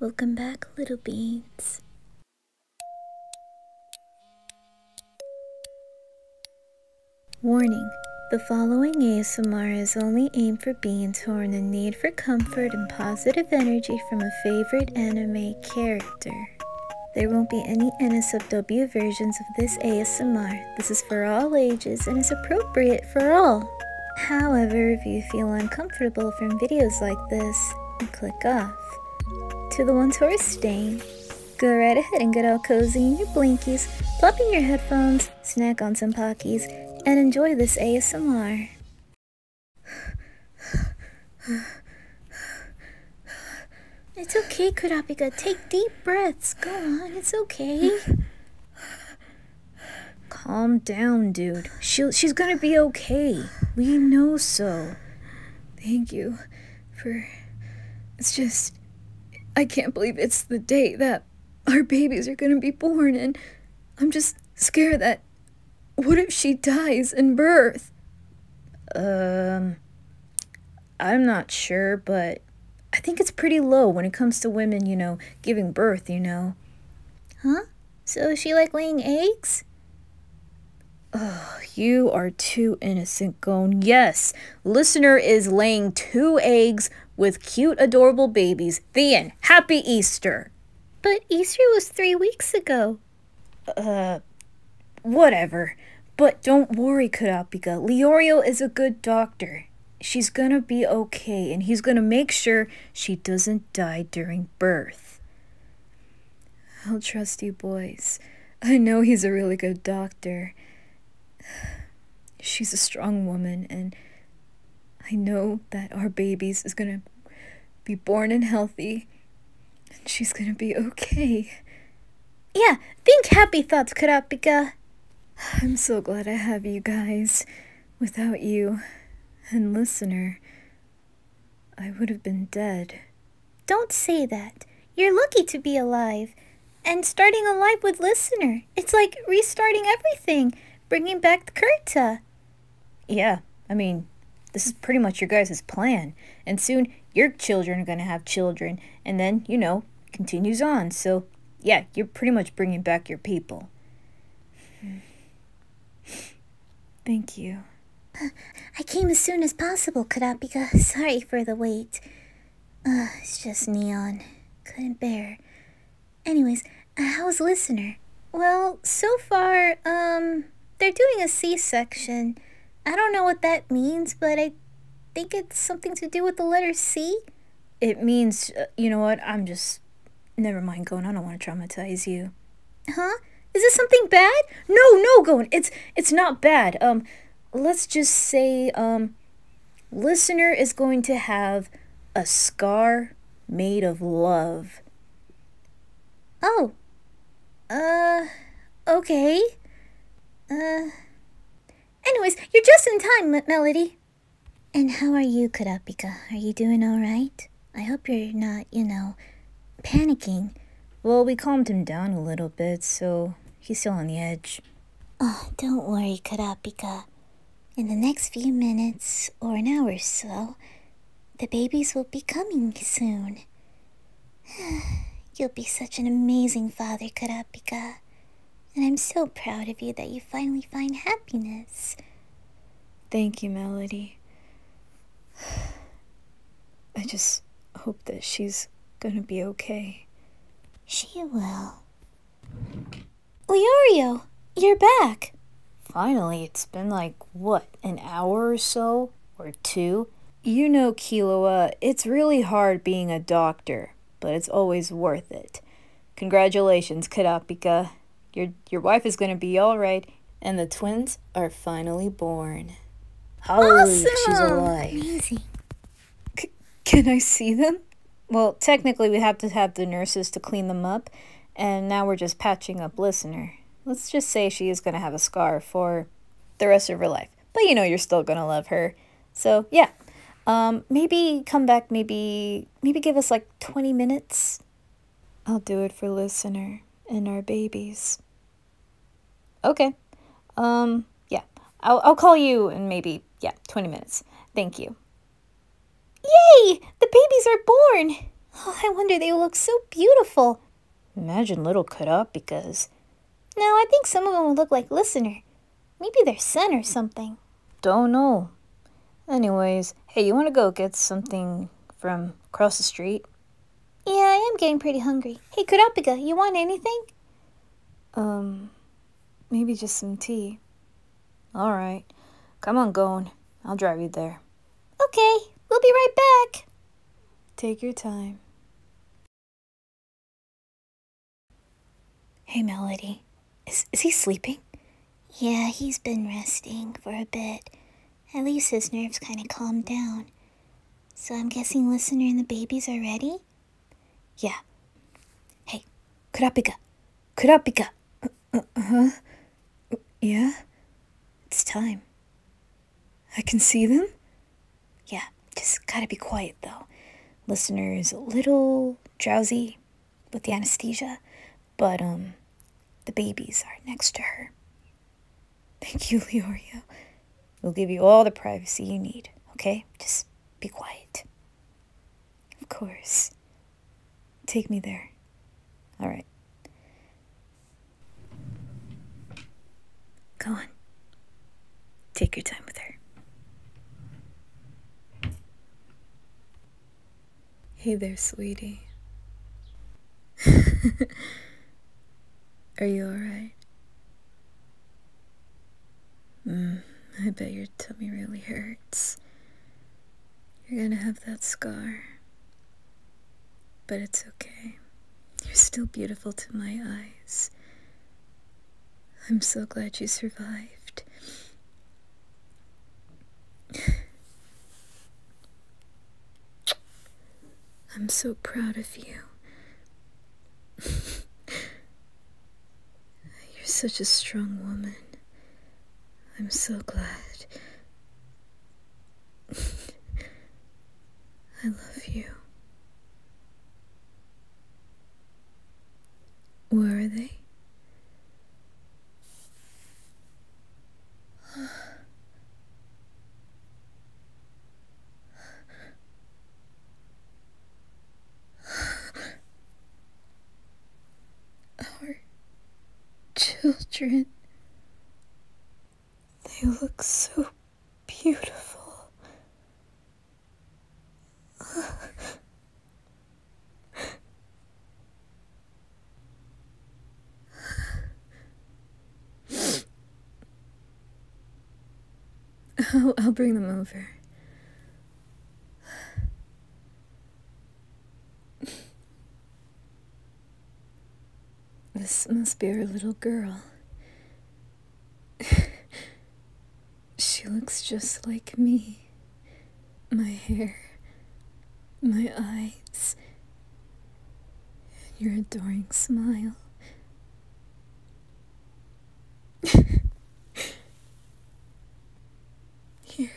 Welcome back, little beans. Warning The following ASMR is only aimed for beings who are in need for comfort and positive energy from a favorite anime character. There won't be any NSFW versions of this ASMR. This is for all ages and is appropriate for all. However, if you feel uncomfortable from videos like this, click off. To the ones who are staying, go right ahead and get all cozy in your blankies, plop your headphones, snack on some Pockies, and enjoy this ASMR. It's okay, Kurapika. Take deep breaths. Go on, it's okay. Calm down, dude. She'll, she's gonna be okay. We know so. Thank you for. It's just. I can't believe it's the day that our babies are gonna be born, and I'm just scared that. What if she dies in birth? Um. I'm not sure, but I think it's pretty low when it comes to women, you know, giving birth, you know. Huh? So is she like laying eggs? Oh, you are too innocent, Gone. Yes, listener is laying two eggs with cute, adorable babies. Thean, Happy Easter. But Easter was three weeks ago. Uh, whatever. But don't worry, Kurapika. Leorio is a good doctor she's gonna be okay and he's gonna make sure she doesn't die during birth. I'll trust you boys. I know he's a really good doctor. She's a strong woman, and I know that our babies is gonna be born and healthy, and she's gonna be okay. Yeah, think happy thoughts, Kurapika. I'm so glad I have you guys. Without you and listener, I would have been dead. Don't say that. You're lucky to be alive. And starting a life with listener, it's like restarting everything, bringing back the Kurta. Yeah, I mean, this is pretty much your guys' plan. And soon your children are going to have children. And then, you know, continues on. So, yeah, you're pretty much bringing back your people. Thank you. Uh, I came as soon as possible, Could I be Sorry for the wait. Uh, it's just Neon. Couldn't bear. Anyways, uh, how's Listener? Well, so far, um, they're doing a C-section. I don't know what that means, but I think it's something to do with the letter C. It means, uh, you know what, I'm just. Never mind, going. I don't want to traumatize you. Huh? Is this something bad? No, no, going. it's, it's not bad. Um, let's just say, um, listener is going to have a scar made of love. Oh. Uh, okay. Uh. Anyways, you're just in time, Melody. And how are you, Kurapika? Are you doing alright? I hope you're not, you know, panicking. Well, we calmed him down a little bit, so he's still on the edge. Oh, don't worry, Kurapika. In the next few minutes, or an hour or so, the babies will be coming soon. You'll be such an amazing father, Kurapika. And I'm so proud of you that you finally find happiness. Thank you, Melody. I just hope that she's gonna be okay. She will. Leorio, you're back! Finally, it's been like, what, an hour or so? Or two? You know, Kiloa, it's really hard being a doctor, but it's always worth it. Congratulations, Kadapika. Your, your wife is going to be all right. And the twins are finally born. Holy, she's alive. can I see them? Well, technically, we have to have the nurses to clean them up, and now we're just patching up Listener. Let's just say she is going to have a scar for the rest of her life. But you know, you're still going to love her. So, yeah. Um, maybe come back maybe maybe give us like 20 minutes. I'll do it for listener and our babies. Okay. Um yeah. I'll I'll call you in maybe yeah, 20 minutes. Thank you. Yay! The babies are born. Oh, I wonder they look so beautiful. Imagine little cut up because No, I think some of them will look like listener. Maybe their son or something. Don't know. Anyways, hey, you want to go get something from across the street? Yeah, I am getting pretty hungry. Hey, Kurapika, you want anything? Um, maybe just some tea. All right. Come on, going. I'll drive you there. Okay, we'll be right back. Take your time. Hey, Melody. Is, is he sleeping? Yeah, he's been resting for a bit. At least his nerves kind of calmed down. So I'm guessing Listener and the babies are ready? Yeah. Hey, Kurapika. Kurapika. uh, huh? Yeah? It's time. I can see them? Yeah, just gotta be quiet though. Listener's a little drowsy, with the anesthesia, but um, the babies are next to her. Thank you, Leorio. We'll give you all the privacy you need, okay? Just be quiet. Of course. Take me there. All right. Go on. Take your time with her. Hey there, sweetie. Are you alright? Mm, I bet your tummy really hurts. You're gonna have that scar. But it's okay. You're still beautiful to my eyes. I'm so glad you survived. I'm so proud of you. You're such a strong woman. I'm so glad. I love you. Where are they? Our children, they look so beautiful. Oh, I'll bring them over. This must be our little girl. she looks just like me my hair, my eyes, and your adoring smile. Here.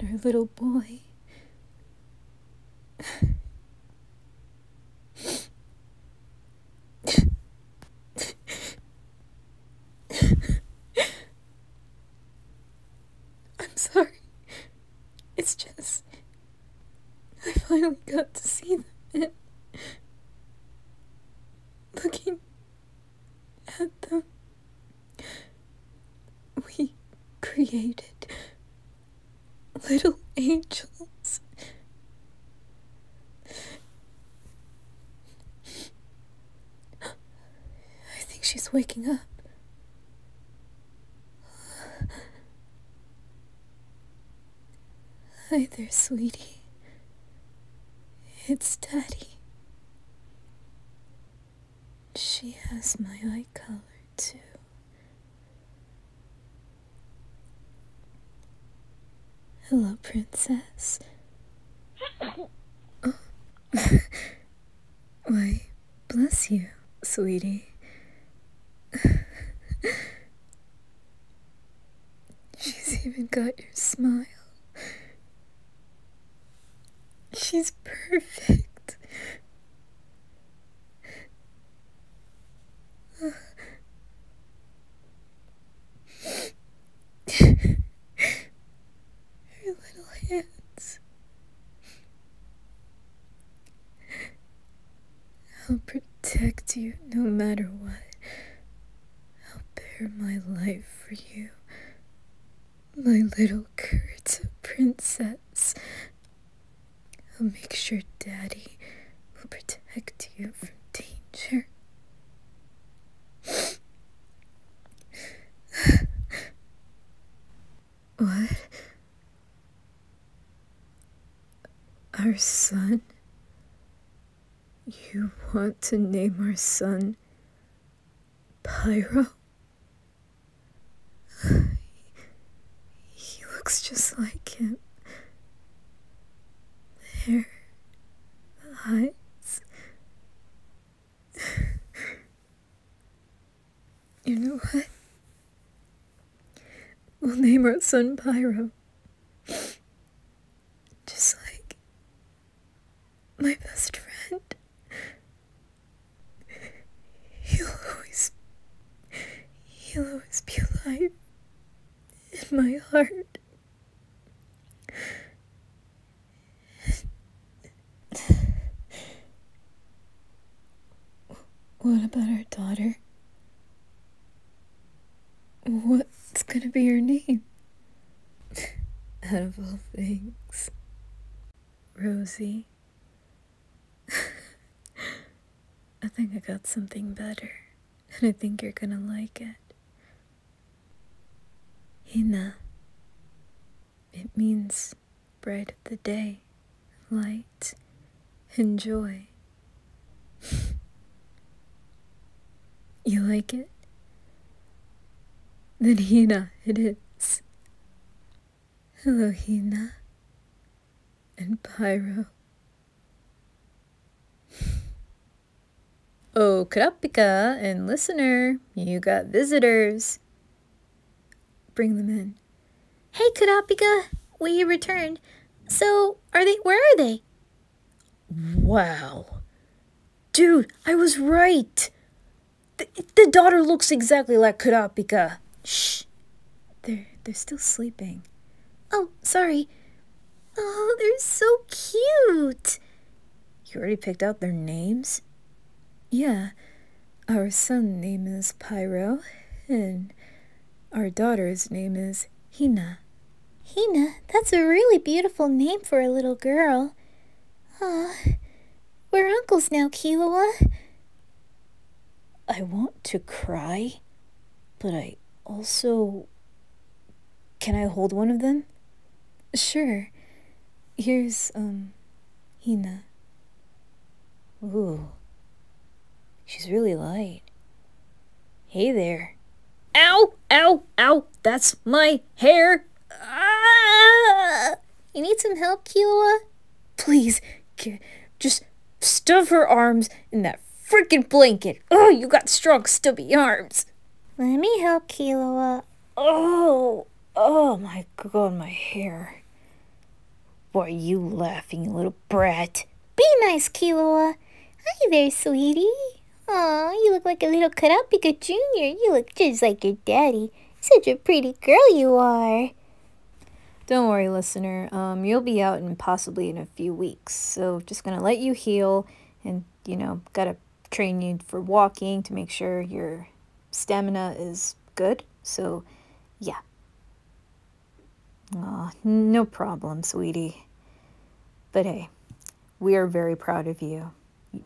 And our little boy. I'm sorry. It's just. I finally got to see them. Looking at them. We created little angels. I think she's waking up. Hi there, sweetie. It's Daddy. She has my eye color, too. Hello, princess. Oh. Why, bless you, sweetie. She's even got your smile. She's perfect. Her little hands. I'll protect you no matter what. I'll bear my life for you. My little Kurta princess. I'll make sure Daddy will protect you from danger what? Our son? You want to name our son Pyro? he looks just like him. There, the you know what? We'll name our son Pyro. Just like my best friend. He'll always, he'll always be alive in my heart. What about our daughter? What's gonna be her name? Out of all things, Rosie. I think I got something better, and I think you're gonna like it. Hina. It means bright of the day, light, and joy. you like it? Then Hina it is. Hello, Hina. And Pyro. Oh, Kurapika and listener, you got visitors. Bring them in. Hey, Kurapika, we returned. So, are they, where are they? Wow. Dude, I was right. The, the daughter looks exactly like Kurapika. Shh. They're, they're still sleeping. Oh, sorry. Oh, they're so cute. You already picked out their names? Yeah. Our son's name is Pyro, and our daughter's name is Hina. Hina, that's a really beautiful name for a little girl. Ah, we're uncles now, Kilawa. I want to cry, but I also can I hold one of them? Sure. Here's, um, Hina. Ooh. She's really light. Hey there. Ow! Ow! Ow! That's my hair! Ah! You need some help, Kiowa? Please, just stuff her arms in that freaking blanket. Oh, you got strong, stubby arms. Let me help, Kiowa. Oh, oh my god, my hair. Why are you laughing, little brat? Be nice, Killua. Hi there, sweetie. Oh, you look like a little Karapika Jr. You look just like your daddy. Such a pretty girl you are. Don't worry, listener. Um, you'll be out and possibly in a few weeks, so just gonna let you heal and you know, got to train you for walking to make sure your stamina is good. So, yeah. Oh, no problem, sweetie. But hey, we are very proud of you.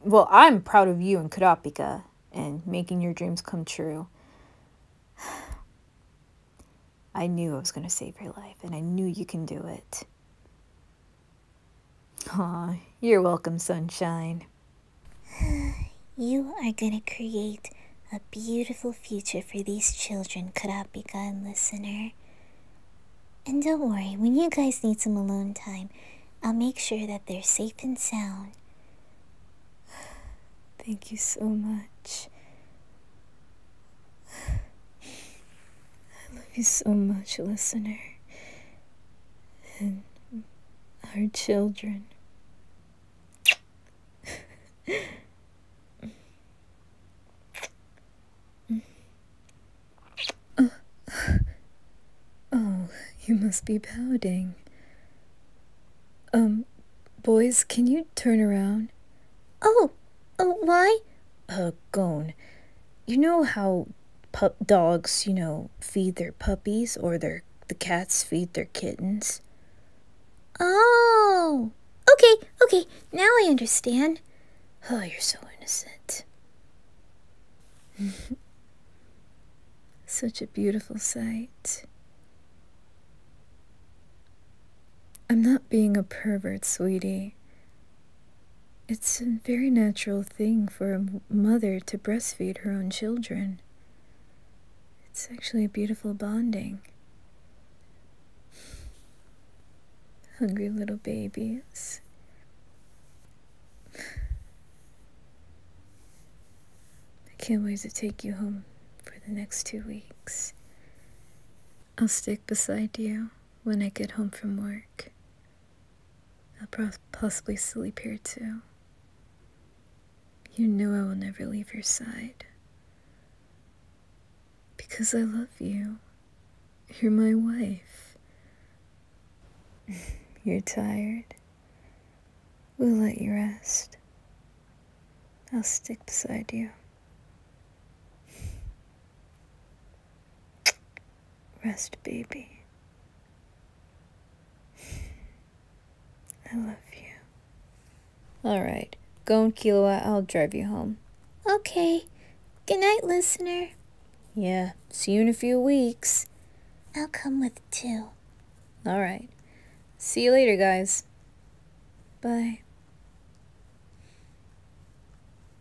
Well, I'm proud of you and Kurapika and making your dreams come true. I knew I was going to save your life, and I knew you can do it. Aw, you're welcome, sunshine. You are going to create a beautiful future for these children, Karapika and listener. And don't worry, when you guys need some alone time, I'll make sure that they're safe and sound. Thank you so much. I love you so much, listener and our children. oh. oh, you must be pouting. Um, boys, can you turn around? Oh, oh, why? Huggone. gone. You know how pup dogs, you know, feed their puppies or their the cats feed their kittens? Oh. Okay, okay. Now I understand. Oh, you're so innocent. Such a beautiful sight. I'm not being a pervert, sweetie. It's a very natural thing for a mother to breastfeed her own children. It's actually a beautiful bonding. Hungry little babies. I can't wait to take you home for the next two weeks. I'll stick beside you when I get home from work. I'll possibly sleep here too. You know I will never leave your side. Because I love you. You're my wife. You're tired. We'll let you rest. I'll stick beside you. Rest, baby. I love you. Alright. Go and Kilowatt. I'll drive you home. Okay. Good night, listener. Yeah. See you in a few weeks. I'll come with too. Alright. See you later, guys. Bye.